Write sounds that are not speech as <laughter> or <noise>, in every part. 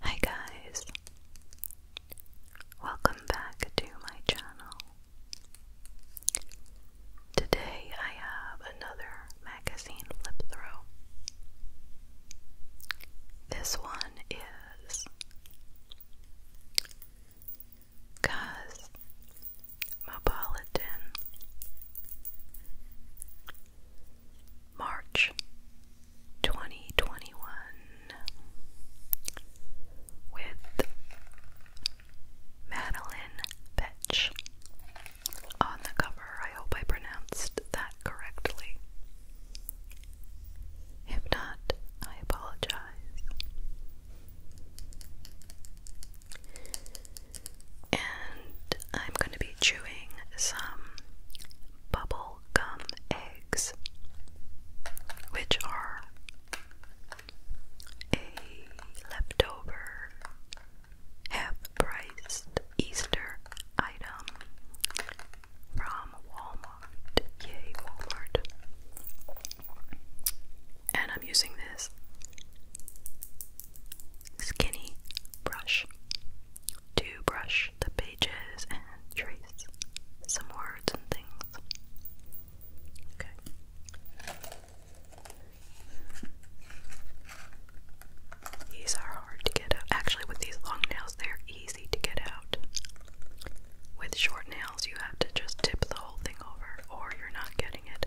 Hi guys! Welcome back to my channel. Today I have another magazine flip through. This one is Cuz March 2021 with Madeline Vetch on the cover. I hope I pronounced that correctly. If not, I apologize. And I'm going to be chewing some bubble gum eggs, which are a leftover half priced Easter item from Walmart. Yay, Walmart. And I'm using this skinny brush to brush the pages and trace some words and things. Okay. These are hard to get out. Actually, with these long nails, they're easy to get out. With short nails, you have to just tip the whole thing over, or you're not getting it.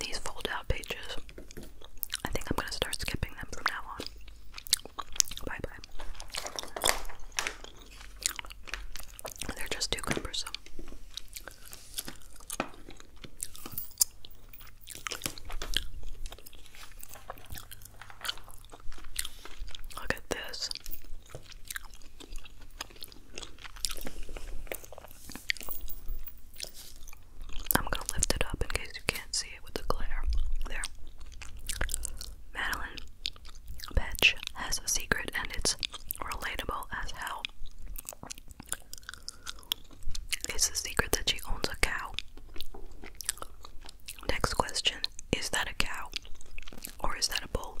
These fold out pages. I think I'm going to start skipping them from now on. Bye bye. They're just too cumbersome. Look at this. I'm gonna lift it up in case you can't see it with the glare. There. Madeline Betch has a secret and it's relatable as hell. It's the secret that she owns a cow. Next question Is that a cow? Or is that a bull?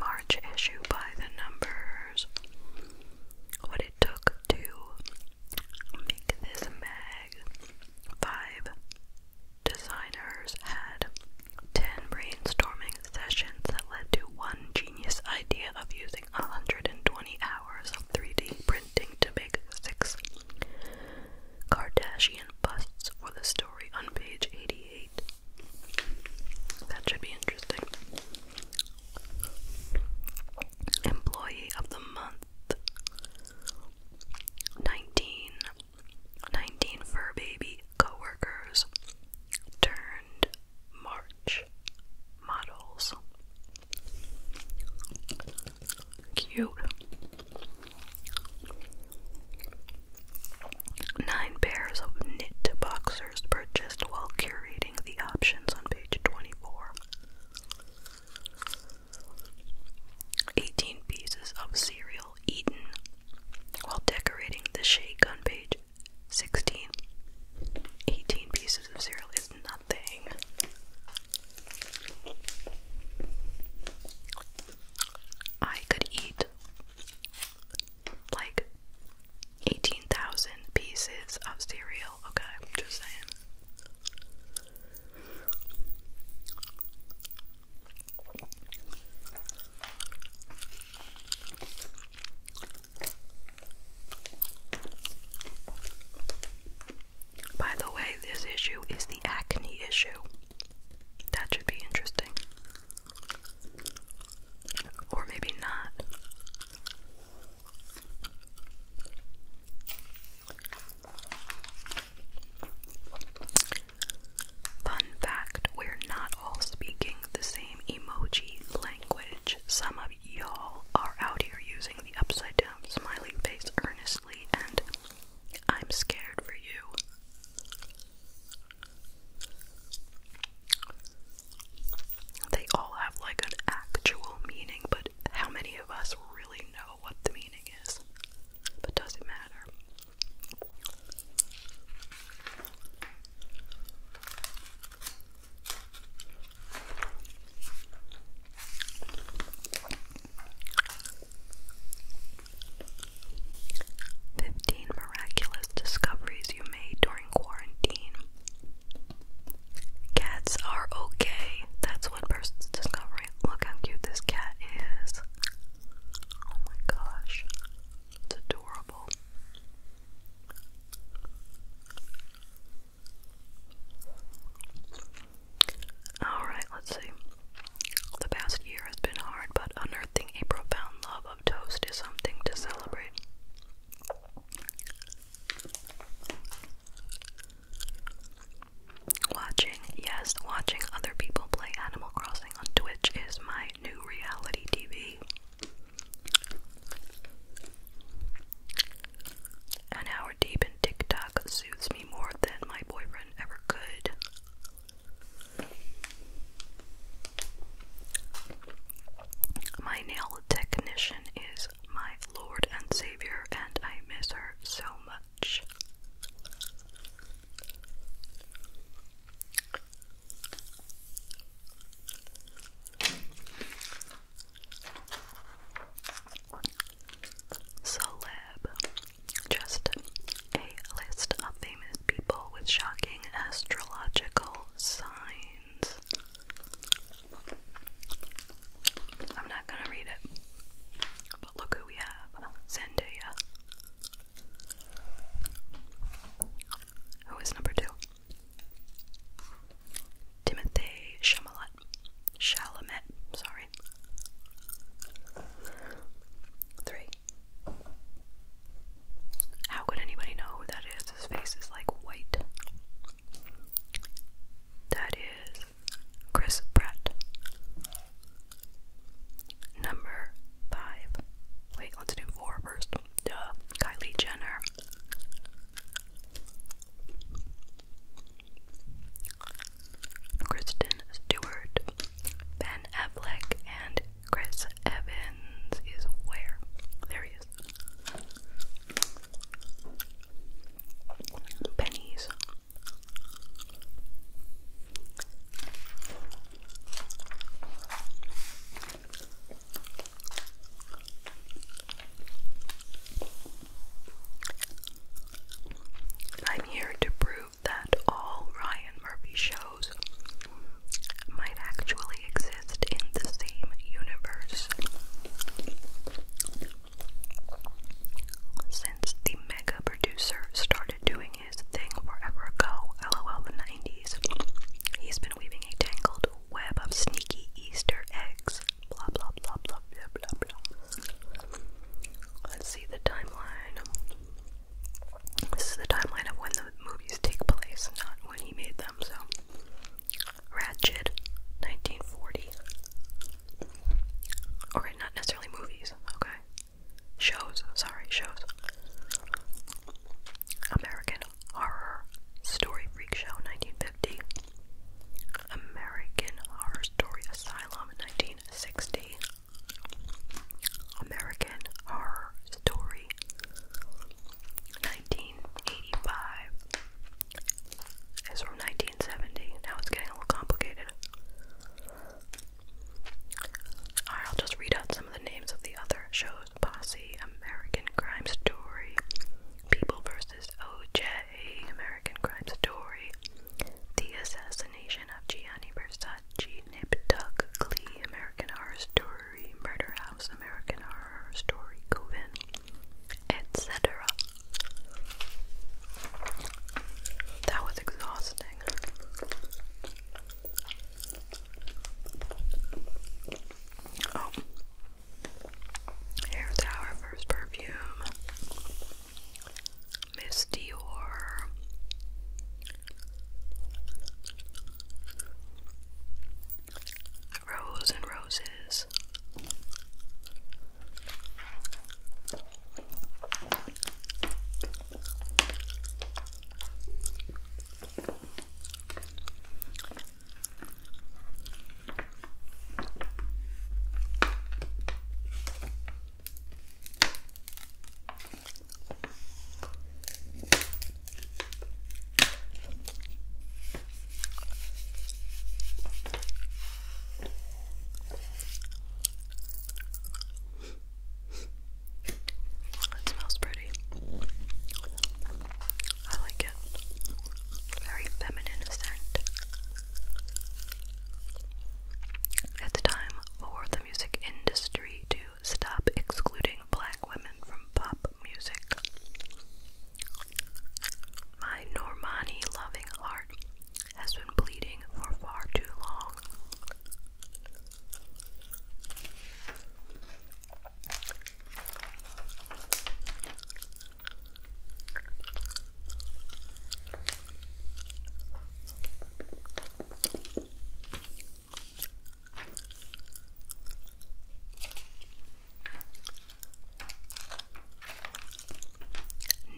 March issue by the numbers. What it took to make this mag. Five designers had ten brainstorming sessions that led to one genius idea of using 120 hours of 3D printing to make six Kardashian busts for the story on page 88. That should be interesting. Employee of the Month. 19. fur baby co turned March models. Cute. Nine pairs of knit boxers purchased while curating the options on page 24. 18 pieces of cereal eaten while decorating the shake on page 16. 18 pieces of cereal is nothing. I could eat like 18,000 pieces of cereal okay? just saying. By the way, this issue is the acne issue. That should be interesting. Or maybe not. Fun fact we're not all speaking the same emoji language. Some of y'all are out here using the upside down smiley face earnestly, and I'm scared for you they all have like an actual meaning, but how many of us really know what the meaning is? But does it matter? Fifteen miraculous discoveries you made during quarantine. Cats are okay. That's one person's discovery. Look how cute this cat is. Oh my gosh. It's adorable. Alright, let's see. The past year has been hard, but unearthing a profound love of toast is something to celebrate. Watching, yes, watching other people play Animal Crossing on Twitch is my new reality TV. An hour deep in TikTok suits me more than my boyfriend ever could. My nail technician is my Lord and Savior, and I miss her so much. Celeb. Just a list of famous people with shocking astrological signs. I'm not gonna read it. But look who we have Zendaya. Who is number two? Timothy Chalamet. Chalamet, sorry. Three. How could anybody know who that is? His face is like white. That is Chris Pratt. Number five. Wait, let's do four first. Duh. Kylie Jenner. Kristen Stewart. Ben Affleck and Chris Evans is where? There he is pennies. I'm here to prove that all Ryan Murphy shows might actually exist exist in the same universe. Since the mega producer started doing his thing forever ago, lol the 90s, he's been weaving a tangled web of sneaky Easter eggs. Blah blah blah blah blah blah blah. Let's see the timeline. This is the timeline of when the movies take place, not when he made them, so Ratchet, 1940. Okay, not necessarily movies, okay? Shows, sorry, shows. American Horror Story Freak Show, 1950. American Horror Story Asylum, 1960. American Horror Story, 1985. It's from 1970. Now it's getting a little complicated. Alright, I'll just read out some of the names of the other shows Posse, American Crime Story, People vs. OJ, American Crime Story, The Assassination of Gianni Versace, Nip Tuck, Glee, American Horror Story, Murder House, American Horror Story, Coven etc. That was exhausting. Oh, here's our first perfume Miss Dior. Rose and roses. It smells pretty. I like it. Very feminine scent. It's time for the music industry to stop excluding black women from pop music. My Normani loving heart has been bleeding for far too long.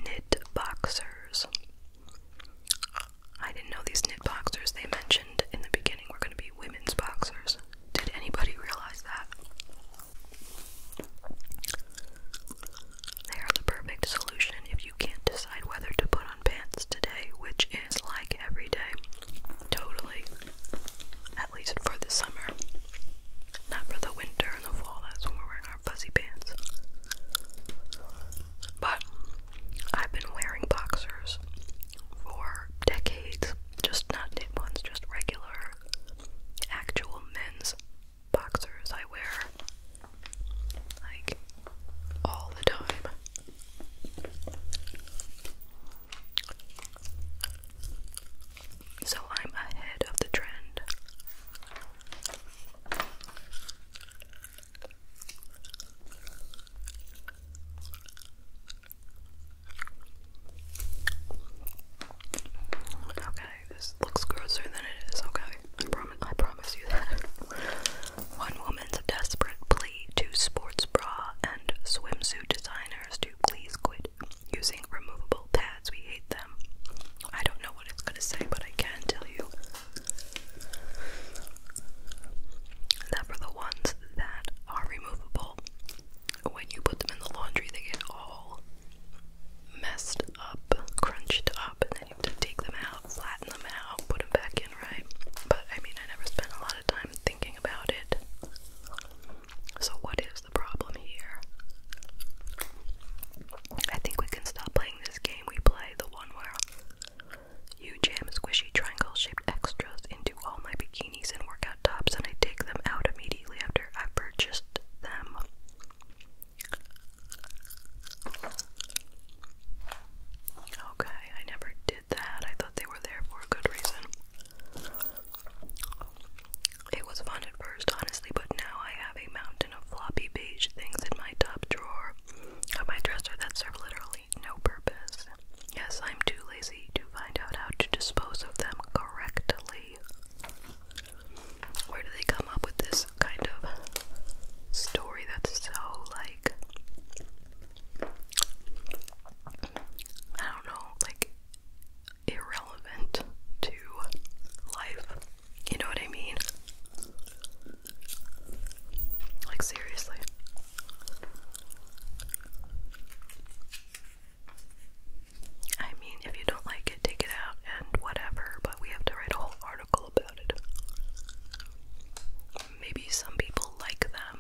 Knit boxers. I didn't know these knit boxers they mentioned in the beginning were going to be women's boxers. Did anybody realize that? They are the perfect solution if you can't decide whether to put on pants today, which is like every day. Totally. At least for the summer. Not for the winter and the fall, that's when we're wearing our fuzzy pants. But I've been wearing boxers for decades. Just not knit ones, just regular actual men's boxers I wear like all the time. So I'm ahead of the trend. Okay, this looks grosser than it is, okay? I promise you that. <laughs> One woman's desperate plea to sports bra and swimsuit designers to please quit using removable pads. We hate them. I don't know what it's going to say, but I can tell you that for the ones that are removable, when you put them in the laundry, they get all messed up, crunched up, and then you have to take them out, flatten them out, put them back in, right? But I mean, I never spent a lot of time thinking about it. So, what is the problem here? I think we can stop playing this game we play, the one where you jam squishy triangle shaped extras into all my bikinis and workout tops, and I take them out immediately after i purchased them. Okay, I never did that. I thought they were there for a good reason. It was fun at first, honestly, but now I have a mountain of floppy beige things in my top drawer of my dresser that serve literally no purpose. Yes, I'm too lazy to find out how to dispose of them correctly. Where do they come up with this kind of story that's so like I don't know, like irrelevant to life. You know what I mean? Like, seriously. I mean, if you don't like it, take it out and whatever, but we have to write a whole article about it. Maybe some people like them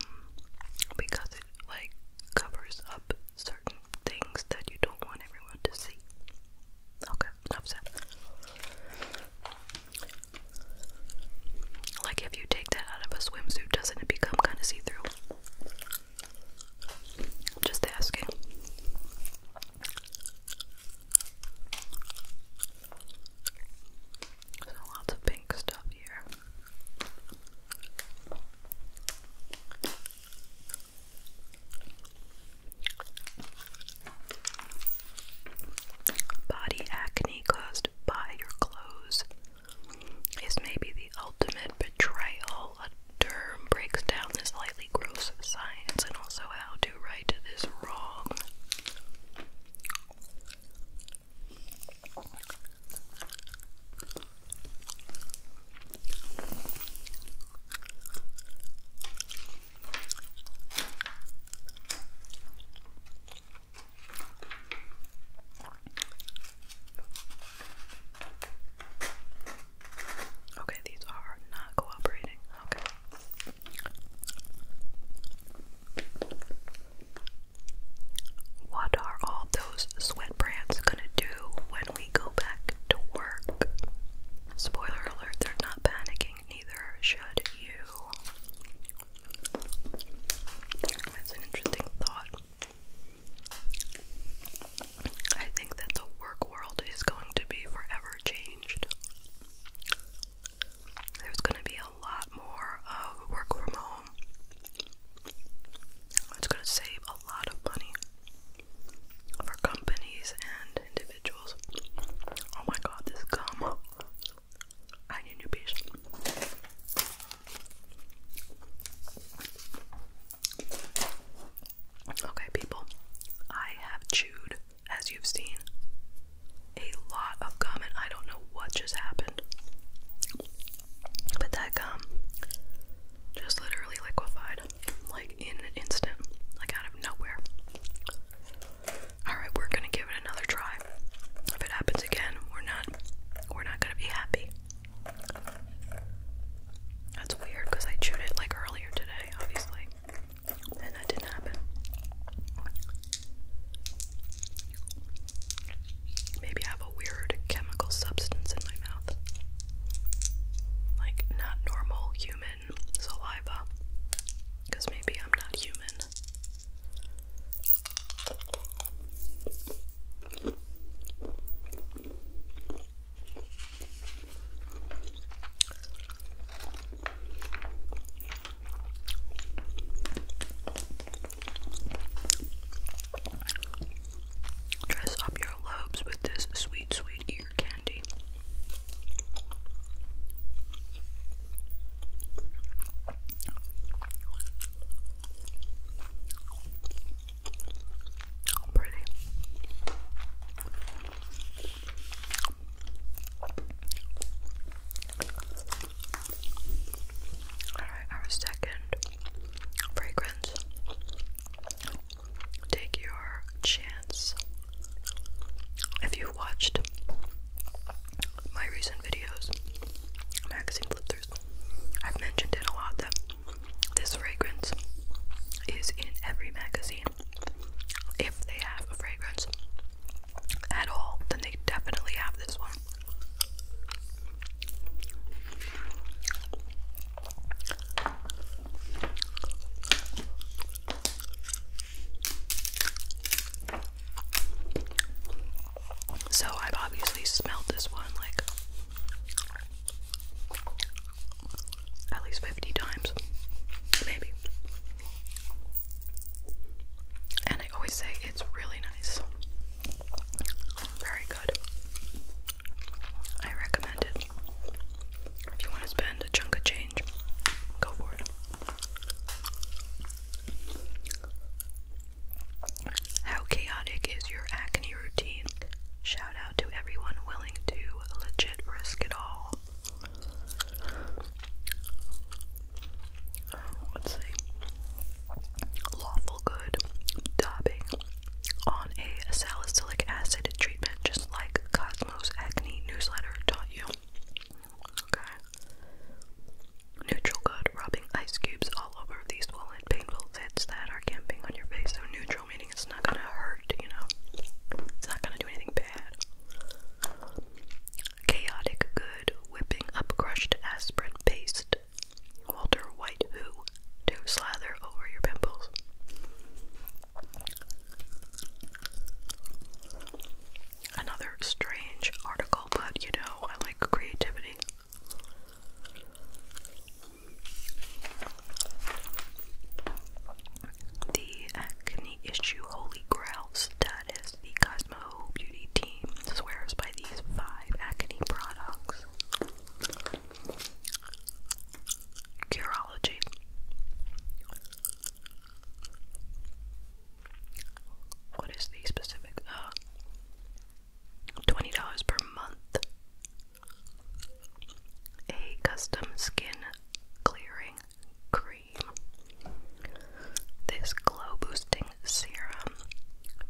because it, like, covers up certain things that you don't want everyone to see. Okay, enough Like if you take that out of a swimsuit, doesn't it become kind of see-through? Just asking. lots of pink stuff here. Body acne caused by your clothes is maybe the ultimate betrayal. A term breaks down this slightly gross science and also how to right this wrong. Okay, these are not cooperating. Okay. What are all those sweat brands gonna do when we go back to work? Spoiler alert, they're not panicking, neither should you. That's an interesting thought. I think that the work world is going to be forever changed. There's going to be a lot more of work from home it's going to save a lot of money for companies and individuals. Oh my god, this gum. I need new piece. Okay, people, I have chewed, as you've seen, a lot of gum, and I don't know what just happened. But that gum just literally liquefied, like in an instant, like out of nowhere. Alright, we're gonna give it another try. If it happens again, we're not we're not gonna be happy. That's weird because I chewed it like earlier today, obviously. And that didn't happen. Maybe I have a weird chemical substance in my mouth. Like, not normal human saliva. Because maybe I'm not human. Dress up your lobes with this sweet, sweet ear candy. Pretty. Alright, our second fragrance. Take your chance. If you watched my recent videos, magazine flip throughs, I've mentioned it a lot that this fragrance is in every magazine. If they have a fragrance at all, then they definitely have this one. So I've obviously smelled this one like at least 50 times, maybe. And I always say it's really nice. Very good. I recommend it. If you want to spend a chunk of change, go for it. How chaotic is your acne routine? Shout out to everyone willing to legit risk it all. Let's see lawful good dabbing on a salicylic acid treatment, just like Cosmos Acne newsletter taught you. Okay. Neutral good, rubbing ice cubes all over these swollen, painful bits that are camping on your face. So neutral meaning it's not gonna hurt, you know. It's not gonna do anything bad. Chaotic good, whipping up crushed aspirin paste Walter White Who to slather over your pimples. Another strange article, but you know, I like creativity. The acne issue holy grail status. The Cosmo Beauty team swears by these five acne products. Curology. What is the specific? Uh, $20 per month. A custom skin clearing cream. This glow boosting serum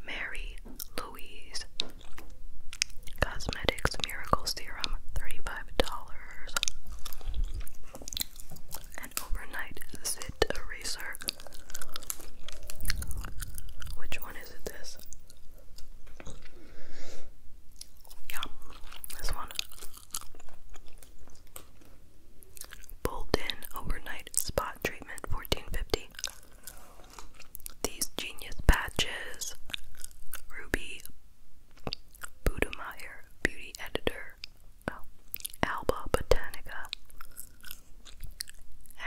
Mary Louise Cosmetics Miracle Serum, $35. An overnight zit eraser. Which one is it? This? Yeah, this one. Bolden Overnight Spot Treatment, fourteen fifty. dollars these genius patches, Ruby Budemeyer Beauty Editor, oh. Alba Botanica,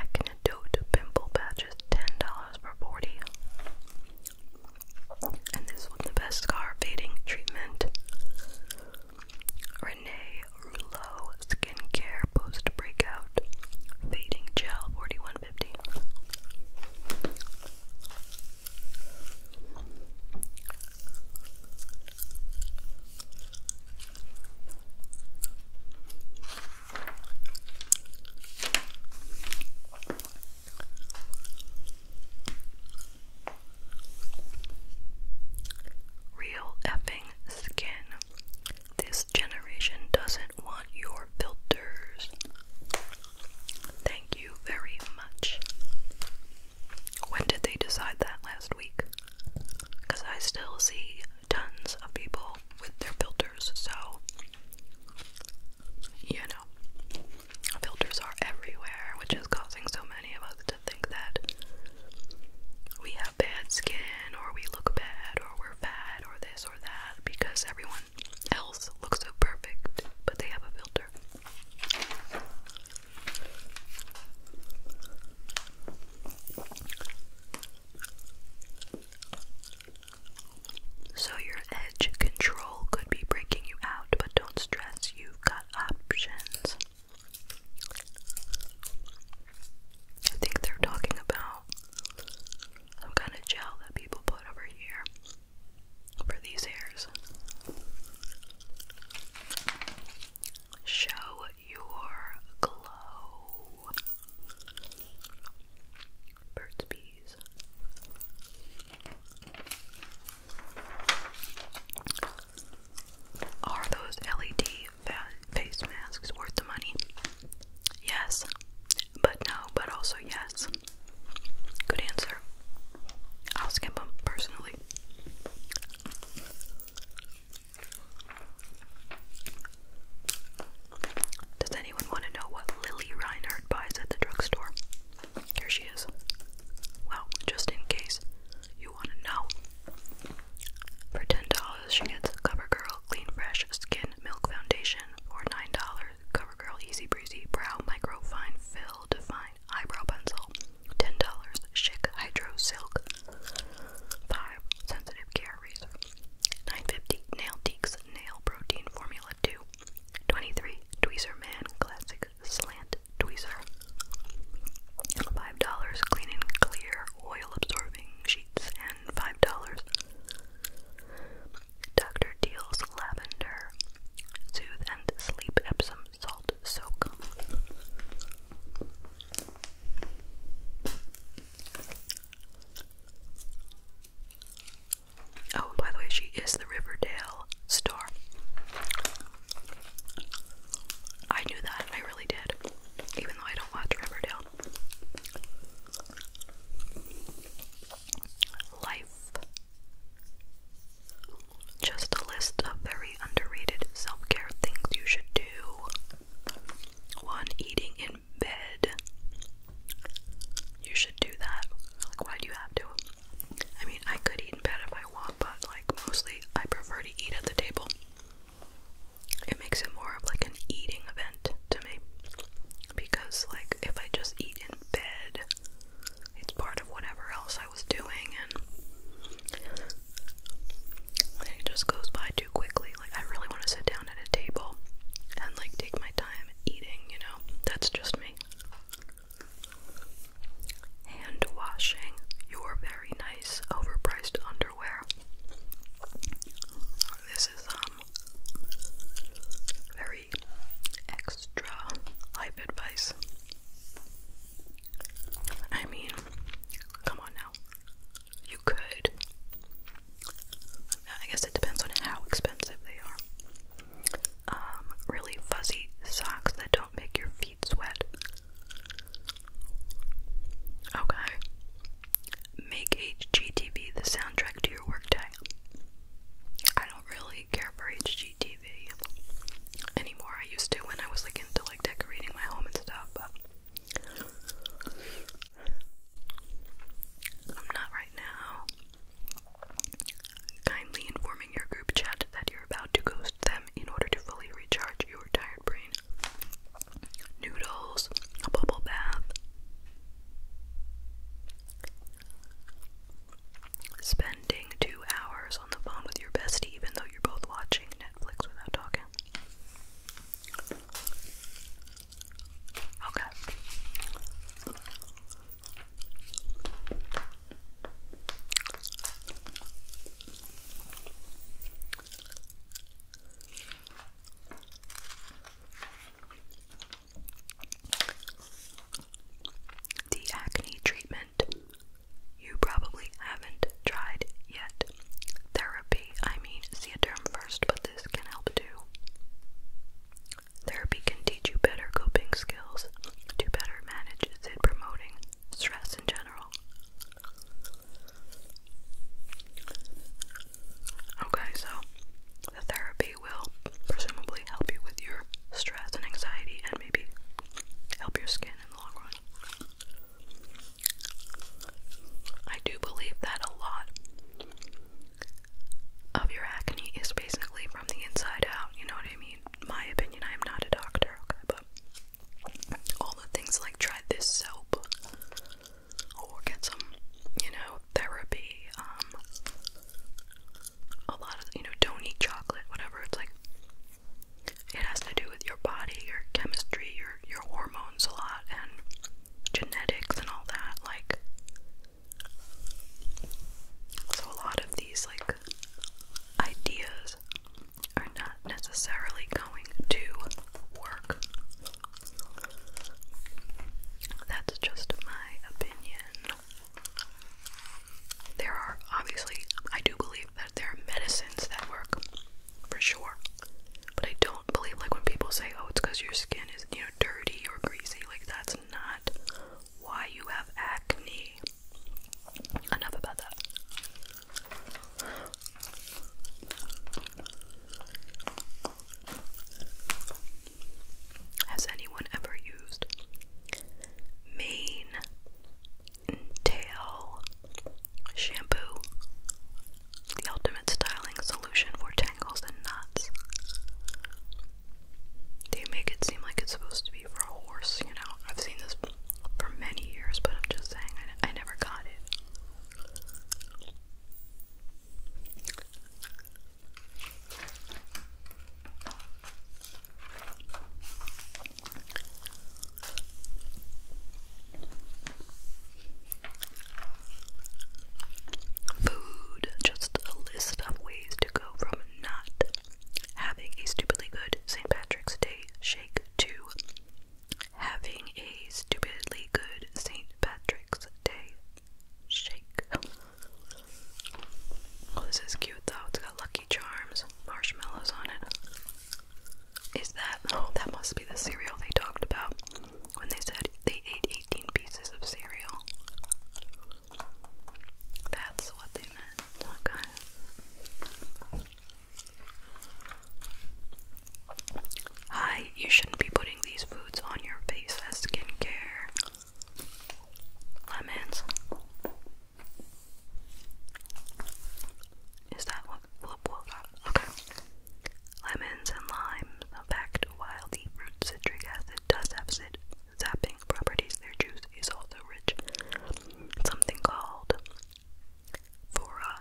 Acnedote Pimple Patches, $10 for 40 and this was the best scar fading treatment. Renee Rouleau Skincare Post Breakout Fading Gel 4150. Real effing skin this generation doesn't want your filters. Thank you very much. When did they decide that last week? Because I still see tons of people with their filters, so you know, filters are everywhere, which is causing so many of us to think that we have bad skin or we look bad or we're or fat or this or that because everyone else looks so perfect, but they have a filter. So, your edge control could be breaking you out, but don't stress, you've got options. I think they're talking about some kind of gel that people put over here for these hairs. Show your glow. Bird's bees. Are those LED face masks worth the money? Yes. But no, but also yes. Good answer. I'll skip them personally. Does anyone want to know what Lily Reinhardt buys at the drugstore? Here she is. Well, just in case you want to know, for $10, she gets CoverGirl Clean Fresh Skin Milk Foundation. For $9, CoverGirl Easy Breezy Brow Microfine Fill Define Eyebrow Pencil. $10, Shik Hydro Silk. 5 Sensitive Care Razor. 950 Nail Deeks Nail Protein Formula 2. 23 Tweezer Man Classic Slant Tweezer. $5 Cleaning Clear Oil Absorbing Sheets $5. Dr. Deal's Lavender Soothe and Sleep Epsom Salt Soak. Oh, by the way, she is the Riverdale star. I knew that, I really did. Even though I don't watch Riverdale, Life. Just a list of very underrated self care things you should do. One, eating in bed. You should do that. Like, why do you have to? I mean, I could eat in bed if I want, but like, mostly I prefer to eat at the table. It makes it more of like an eating event to me. Because, like, if I just eat in bed, it's part of whatever else I was doing, and it just goes by too quickly. Like, I really want to sit down at a table and, like, take my time eating, you know? That's just me. Hand washing your very nice, overpriced, this is um very extra life advice. I mean, come on now. You could. I guess it depends on how expensive they are. Um, really fuzzy socks that don't make your feet sweat. Okay. Make HGTV the soundtrack to your workday. I don't really care for HGTV anymore. I used to when I was like into like decorating my home and stuff, but I'm not right now. Kindly informing your group chat that you're about to ghost them in order to fully recharge your time Noodles, a bubble bath, spending two hours on the phone with your bestie, even though you're both watching Netflix without talking. Okay. The acne treatment you probably haven't tried yet. Therapy, I mean, see a term but this can help too. Therapy can teach you better coping skills to better manage it, promoting stress in general. Okay, so the therapy will presumably help you with your stress and anxiety and maybe help your skin in the long run. I do believe that a lot of your acne is basically from the inside out, you know what I mean? My opinion, I am not a doctor, okay, but all the things like try this soap or get some, you know, therapy, um, a lot of, you know, don't eat chocolate, whatever, it's like, it has to do with your body, your chemistry, your, your hormones a lot, and genetics and all that, like, so a lot of these, like, ideas are not necessarily going to work. That's just my opinion. There are obviously, I do believe that there are medicines that work for sure, but I don't believe like when people say, "Oh, it's because your skin is you know dirty or greasy." Like that's not why you have acne. Enough about that. Has anyone ever used mane and tail shampoo? The ultimate styling solution for tangles and knots. They make it seem like it's supposed to be for a horse, you know. I've seen this for many years, but I'm just saying I, I never got it. Food, just a list of ways to go from not having a stupidly good St. Patrick's Day shake to Having a stupidly good St. Patrick's Day shake. Oh, this is cute though. It's got Lucky Charms, marshmallows on it. Is that? Oh, that must be the cereal they talked about when they said they ate 18 pieces of cereal. That's what they meant. Okay. Hi, you shouldn't be putting these foods on your face as skincare. Lemons. Is that what Blue got? Okay. Lemons and limes. In fact, while deep root citric acid does have zit zapping properties, their juice is also rich in something called Fura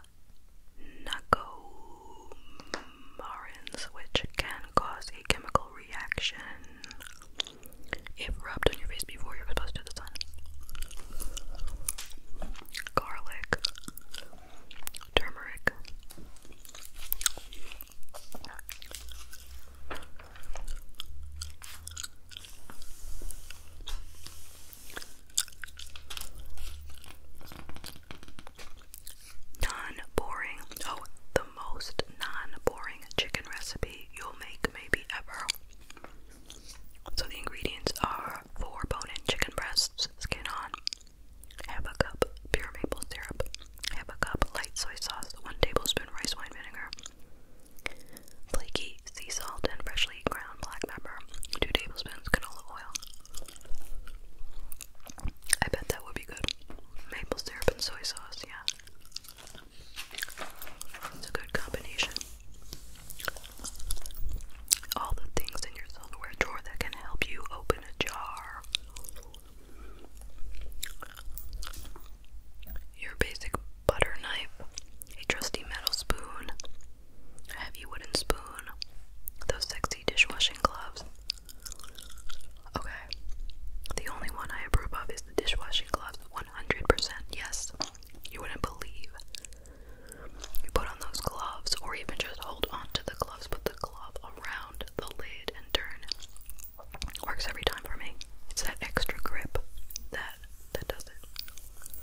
nacomarins, which can cause a chemical reaction if rubbed on your face before you're exposed to the sun. Garlic, turmeric, Non boring. Oh, the most non boring chicken recipe you'll make maybe ever. So the ingredients are four bone-in chicken breasts, skin on, half a cup pure maple syrup, half a cup light soy sauce, one tablespoon rice wine vinegar, flaky sea salt, and freshly ground black pepper, 2 tablespoons canola oil. I bet that would be good. Maple syrup and soy sauce, yeah. It's a good combination. All the things in your silverware drawer that can help you open a jar. Your basic butter knife, a trusty metal spoon, heavy wooden spoon, those sexy dishwashing gloves. Okay, the only one I approve of is the dishwashing gloves 100%. Yes, you wouldn't believe. You put on those gloves, or even just hold on to the gloves, put the glove around the lid and turn. Works every time for me. It's that extra grip that that does it.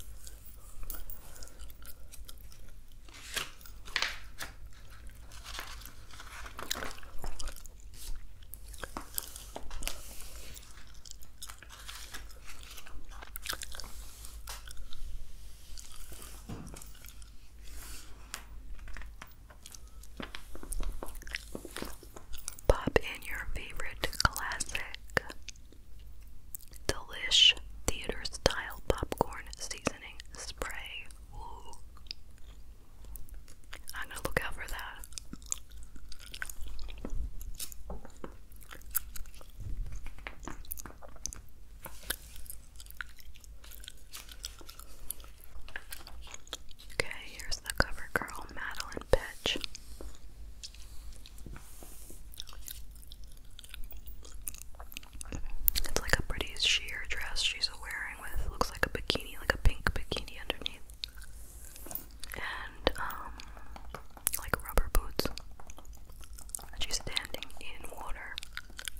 Pop in your favorite classic Delish theater style popcorn seasoning spray. Ooh. I'm gonna look out for that. Okay, here's the cover Madeline Petch. It's like a pretty sheer dress she's wearing with looks like a bikini, like a pink bikini underneath. And um like rubber boots. And she's standing in water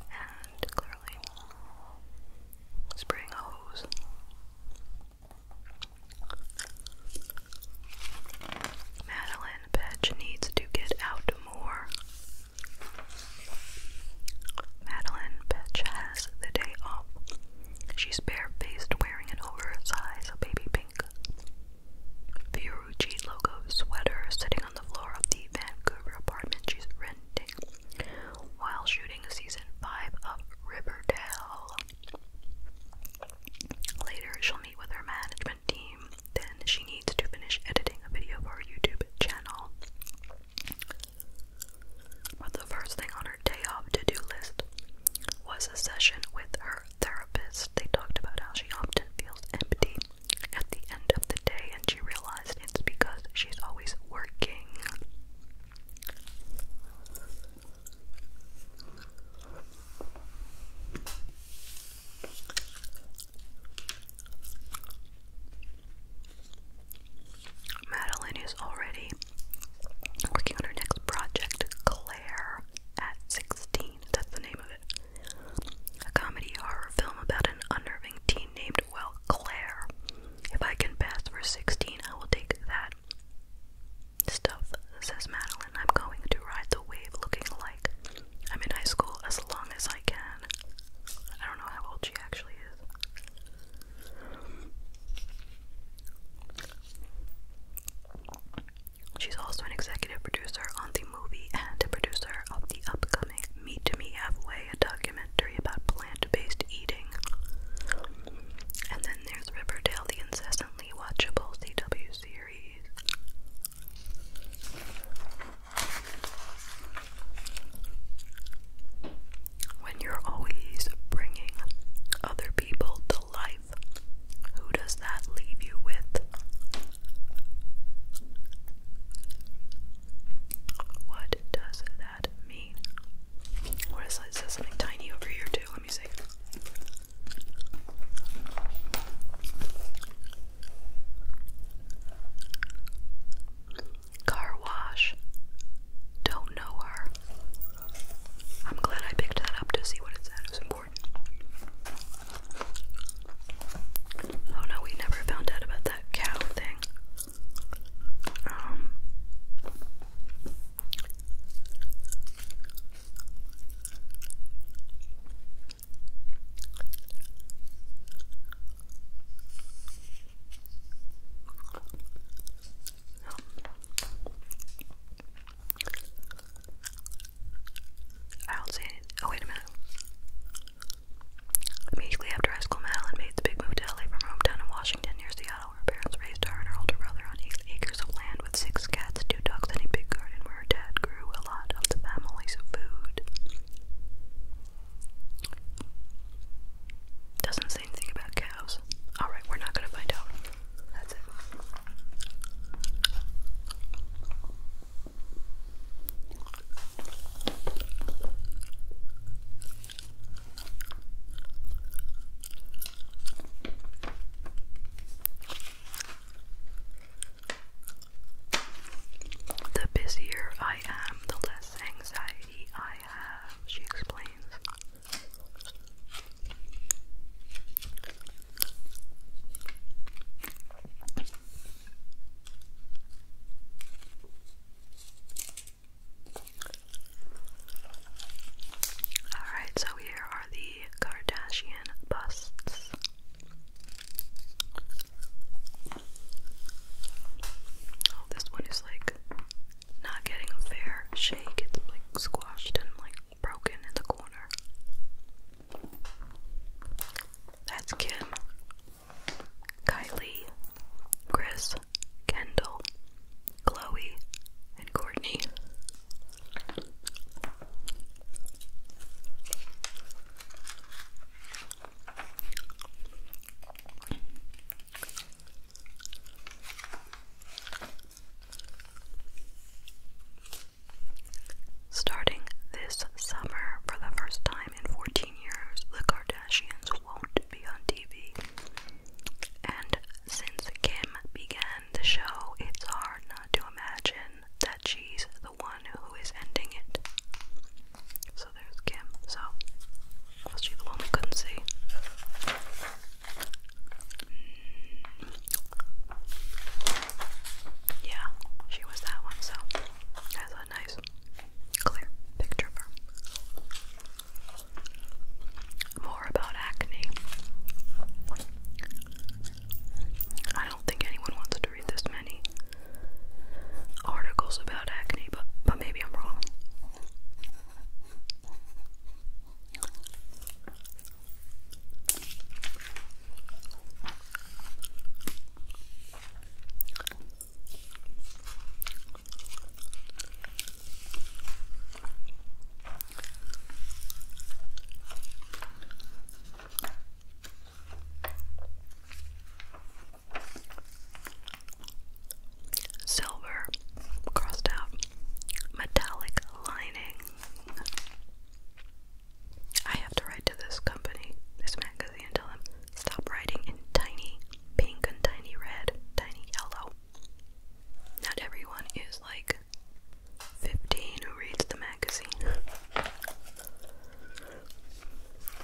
and clearly spraying a hose. Madeline Bitch needs to get out more. Madeline Bitch has the day off. She's barefaced wearing an oversized baby pink Fiorucci logo sweater sitting on the floor of the Vancouver apartment she's renting while shooting season 5 of Riverdale. Later, she'll meet with her management team, then she needs to finish editing a video for her YouTube channel. But the first thing on her day off to do list was a session with her therapist. They talked about how she often feels empty at the end of the day, and she realized it's because she's always working. Madeline is already working on her next project, Claire at 16. That's the name of it. A comedy horror film about an unnerving teen named, well, Claire. If I can pass for 16, I will take that stuff says Madeline, I'm going to ride the wave looking like I'm in high school as long as I can. I don't know how old she actually is. She's also an executive producer on the movie and a producer of the upcoming Meet Me Halfway, a documentary about plant based eating. And then there's Riverdale, the incessantly watchable CW series. When you're always bringing other people to life, who does that leave you with? What does that mean? What is that? Is that something tiny over here, too? Let me see. Car wash. Don't know her. I'm glad I picked that up to see what it said. It was important. Oh no, we never found out about that cow thing. Um, I don't see any. Oh, wait a minute. Immediately after high school, Madeline made the big move to LA from her hometown in Washington near Seattle, where her parents raised her and her older brother on E acres of land with six cats, two dogs, and a big garden where her dad grew a lot of the family's food. Doesn't say anything about cows. Alright, we're not gonna find out. That's it. The busier I am, the less anxiety I have, she explains. Alright, so here are the Kardashian busts. Oh, this one is like not getting a fair shake. It's like squashed and like broken in the corner. That's Kim, Kylie, Chris, Kendall, Chloe, and Courtney. Starting this summer, for the first time in 14 years, the Kardashians won't be on TV. And since Kim began the show, it's hard not to imagine that she's the one who is ending it. So there's Kim. So was she the couldn't see? Mm. Yeah, she was that one. So that's a nice, clear picture of her. More about acne. I don't think anyone wants to read this many articles about acne, but but maybe I'm wrong. Silver crossed out metallic lining. I have to write to this company, this magazine, and tell them stop writing in tiny pink and tiny red, tiny yellow. Not everyone is like 15 who reads the magazine. What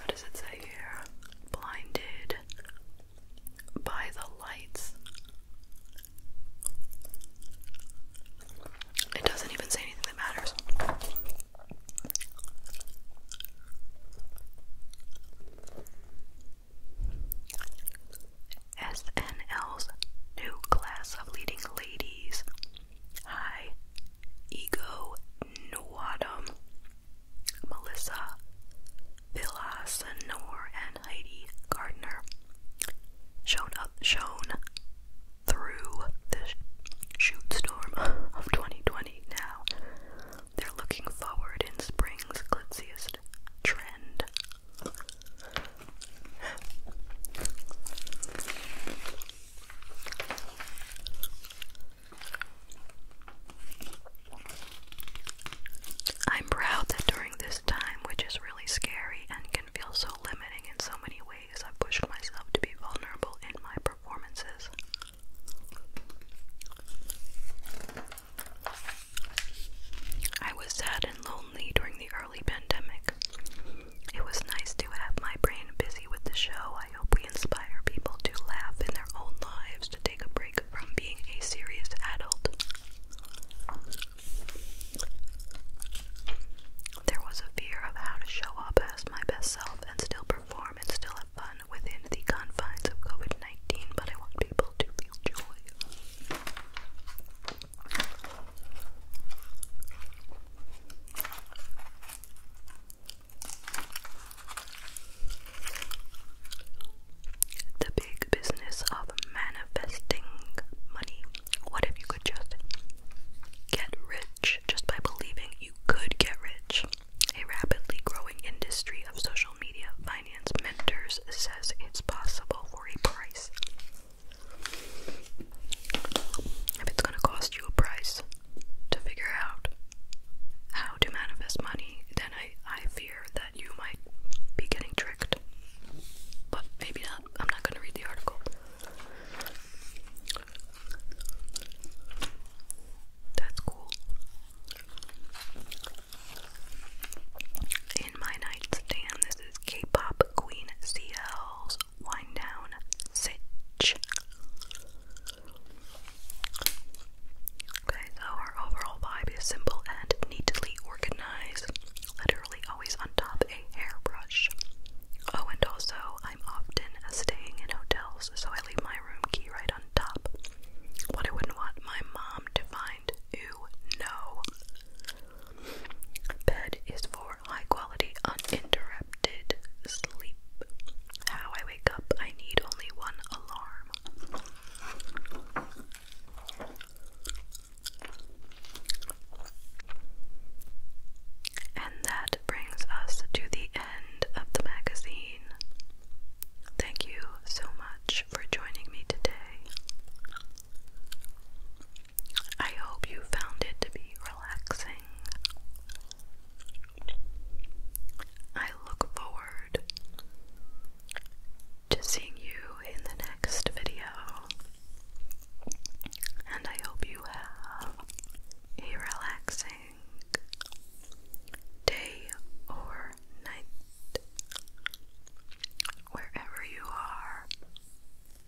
does it say here? Blinded by the lights. It doesn't even say anything that matters. SNL's new class of leading ladies. Hi, Ego Nwadum, Melissa Vilas Noor, and Heidi Gardner. Shown up, shown through the shoot storm of 2020. Now they're looking forward in spring's glitziest trend. I'm proud that during this time, which is really scary and can feel so limiting in so many ways, i pushed myself to be vulnerable in my performances. I was sad and lonely during the early pandemic. It was nice to have my brain busy with the show. I hope we inspire people to laugh in their own lives, to take a break from being a serious adult. There was a fear of how to show up as my best self and still perform and still have fun within the confines of COVID 19, but I want people to feel joy. The big business of manifesting money. What if you could just get rich just by believing you could get rich? A rapidly growing industry of social media finance mentors says it's possible for a price if it's going to cost you a price to figure out how to manifest money, then I, I fear that you might be getting tricked. But maybe not. I'm not going to read the article. That's cool in my nightstand. This is K-pop Queen CL's Wind Down Okay, so her overall vibe is simple and neatly organized. Literally always on top a hairbrush. Oh, and also I'm often staying in hotels, so I leave my room key right on top. What I wouldn't want my mom to find. Ew, no. Bed is for high quality, uninterrupted sleep. How I wake up, I need only one alarm. And that brings us to the end of the magazine. Thank you so much for joining me today. I hope you found it to be relaxing. I look forward to seeing you in the next video, and I hope you have a relaxing day or night wherever you are.